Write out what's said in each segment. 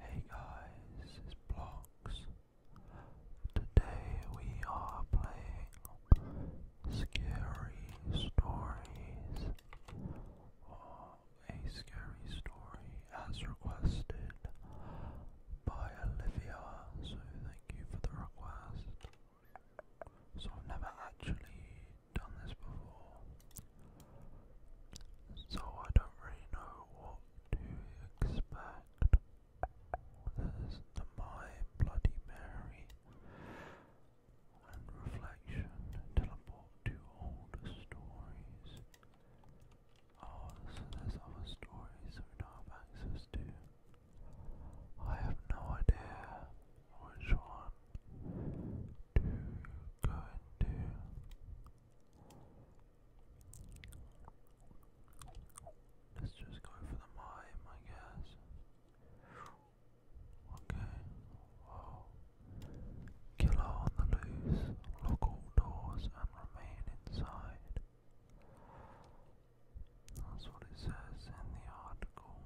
Hey guys, it's Blocks. Today we are playing Scary Stories a scary story as requested by Olivia, so thank you for the request. So I've never actually done this before. So I don't really know what to expect. There's My Bloody Mary and Reflection teleport to old stories. Oh, other stories we don't have access to. I have no idea which one do, good Let's just go for the mime, I guess. Okay, Killer on the loose, lock all doors and remain inside. That's what it says in the article.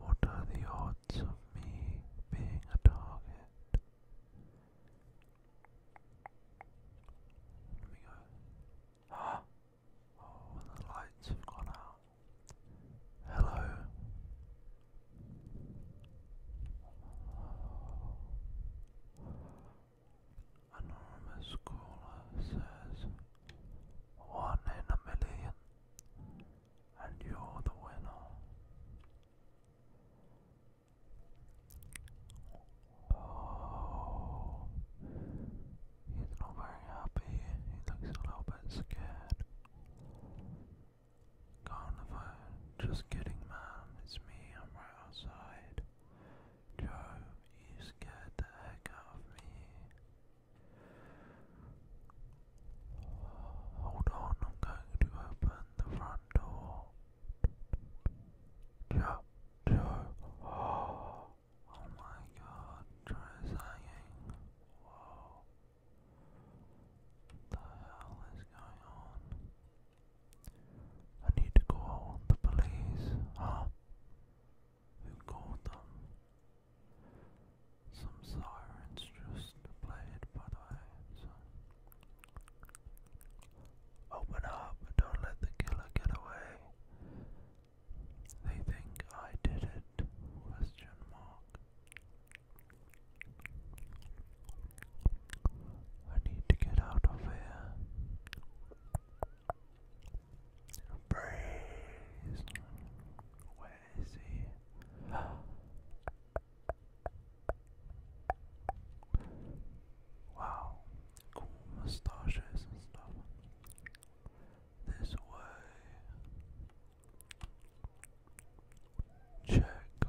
What are the odds of me being a target? Let me go. Huh? Oh, the lights have gone out. Hello. Anonymous caller says one in a million, and you're the winner. Oh, he's not very happy, he looks a little bit scared. Go just kidding, man, it's me, I'm right outside. Joe, you scared the heck out of me. Hold on, I'm going to open the front door. Yeah, yeah. Oh, my god, Trey's hanging. What the hell is going on? I need to call the police. Huh? who called them. Some sirens just played, by the way. Open up, don't let the killer get away. They think I did it, question mark. I need to get out of here. Breeze. Where is wow, moustaches and stuff. This way. Check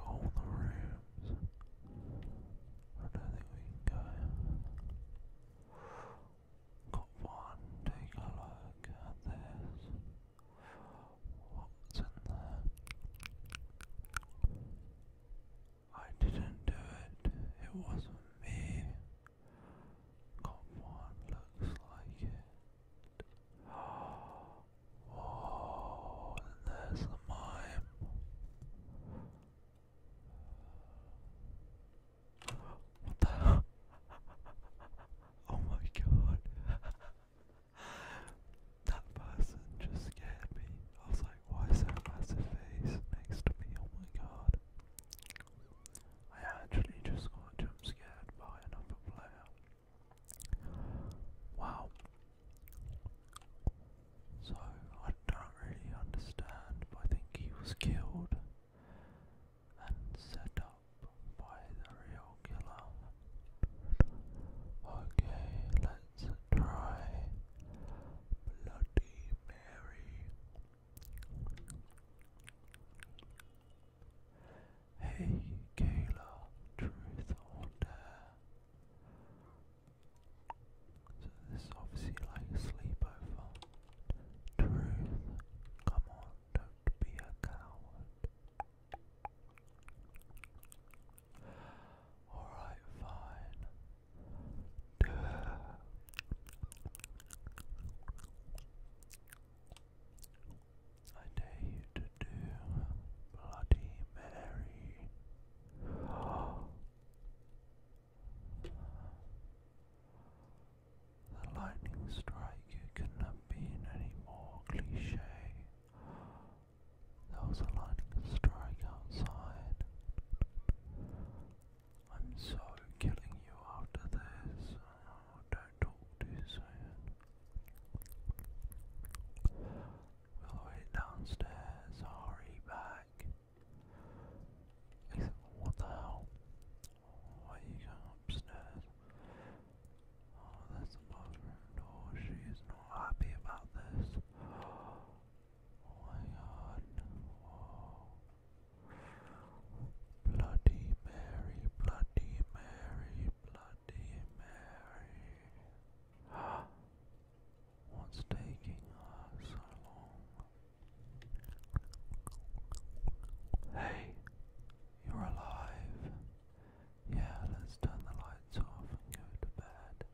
all the rooms. I don't think we can Got one. Take a look at this. What's in there? I didn't do it. It wasn't me. Got one. Looks like it. Whoa! And there's the mime. What the Oh my god. that person just scared me. I was like, why is massive face next to me? Oh my god. I actually just got jump scared by another player. Wow. So I don't really understand, I think he was killed and set up by the real killer. Okay, let's try Bloody Mary. Hey Kayla, truth or dare? So this is obviously like a sleepover. Truth, come on, don't be a coward. Alright, fine. Duh. I dare you to do Bloody Mary. The lightning strike, it couldn't have any more cliche. There was a lightning strike outside. I'm so killing you after this. Oh, don't talk too soon. We'll wait downstairs, hurry back. What the hell? Why you going upstairs? Oh, that's the bathroom door. She not happy about this. Oh my Bloody Mary, Bloody Mary, Bloody Mary. What's taking us so long? Hey, you're alive. Yeah, let's turn the lights off and go to bed.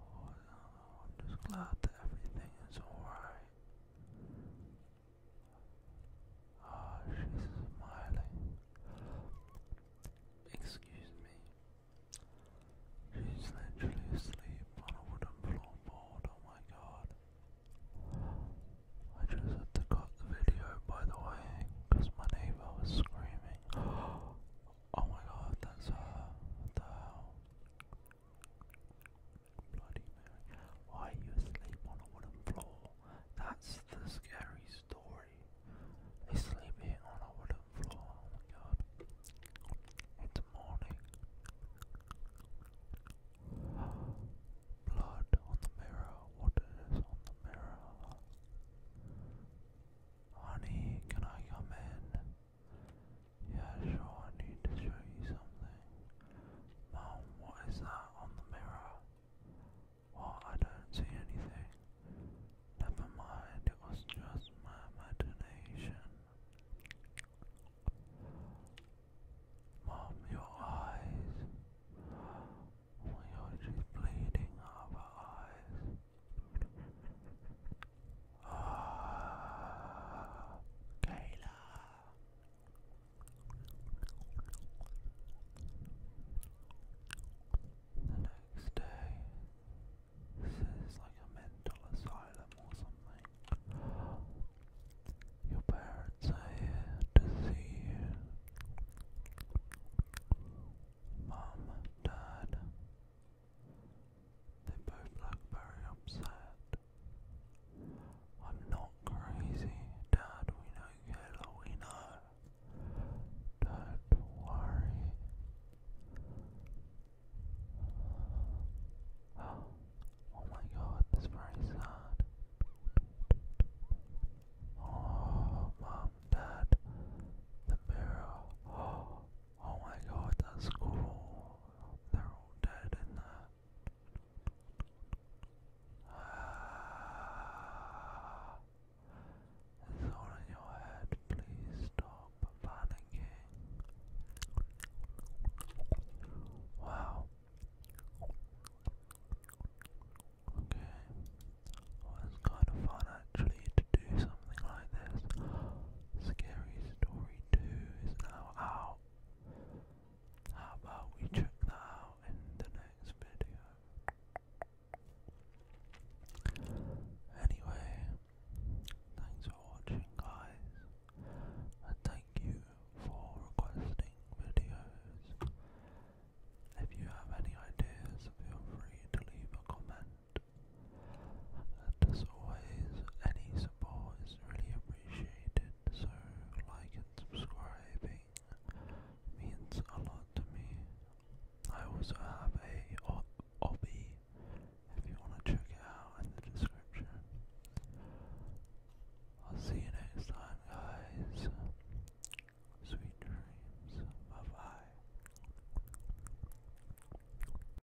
Oh, I'm just glad that everything is alright. Ah, she's smiling. Excuse me. She's literally asleep on a wooden floorboard. Oh my god. I just had to cut the video, by the way, because my neighbor was screaming. Oh my god, that's her. the Bloody Mary. Why are you asleep on a wooden floor? That's the scary story. They sleep here on a wooden floor. Oh my god. It's morning. Blood on the mirror. What is on the mirror? Honey, can I come in? Yeah, sure, I need to show you something. Mom, what is that on the mirror? Well, I don't see anything. Never mind, it was just my imagination. Mom, your eyes. Oh my god, bleeding out eyes. Ah, Kayla. The next day, this is like a mental asylum or something. Your parents are to see you. Mum, Dad. They both look very upset. I'm not crazy, Dad. We do we know. Don't worry. Oh my god, that's very sad. Oh, Mom, Dad, the mirror. Oh my god, that's cool. They're all dead in there. Ah, it's all in your head. Please stop panicking. Wow. Okay. Well, kind of fun actually to do something like this. Scary Story 2 is now out. How about we check that out in the next video? Anyway, thanks for watching, guys, and thank you for requesting videos. If you have any ideas, feel free to leave a comment. And as always, any support is really appreciated, so like and subscribing means a lot to me. I also have a hobby if you want to check it out in the description. I'll see you next time, guys. Sweet dreams. Bye bye.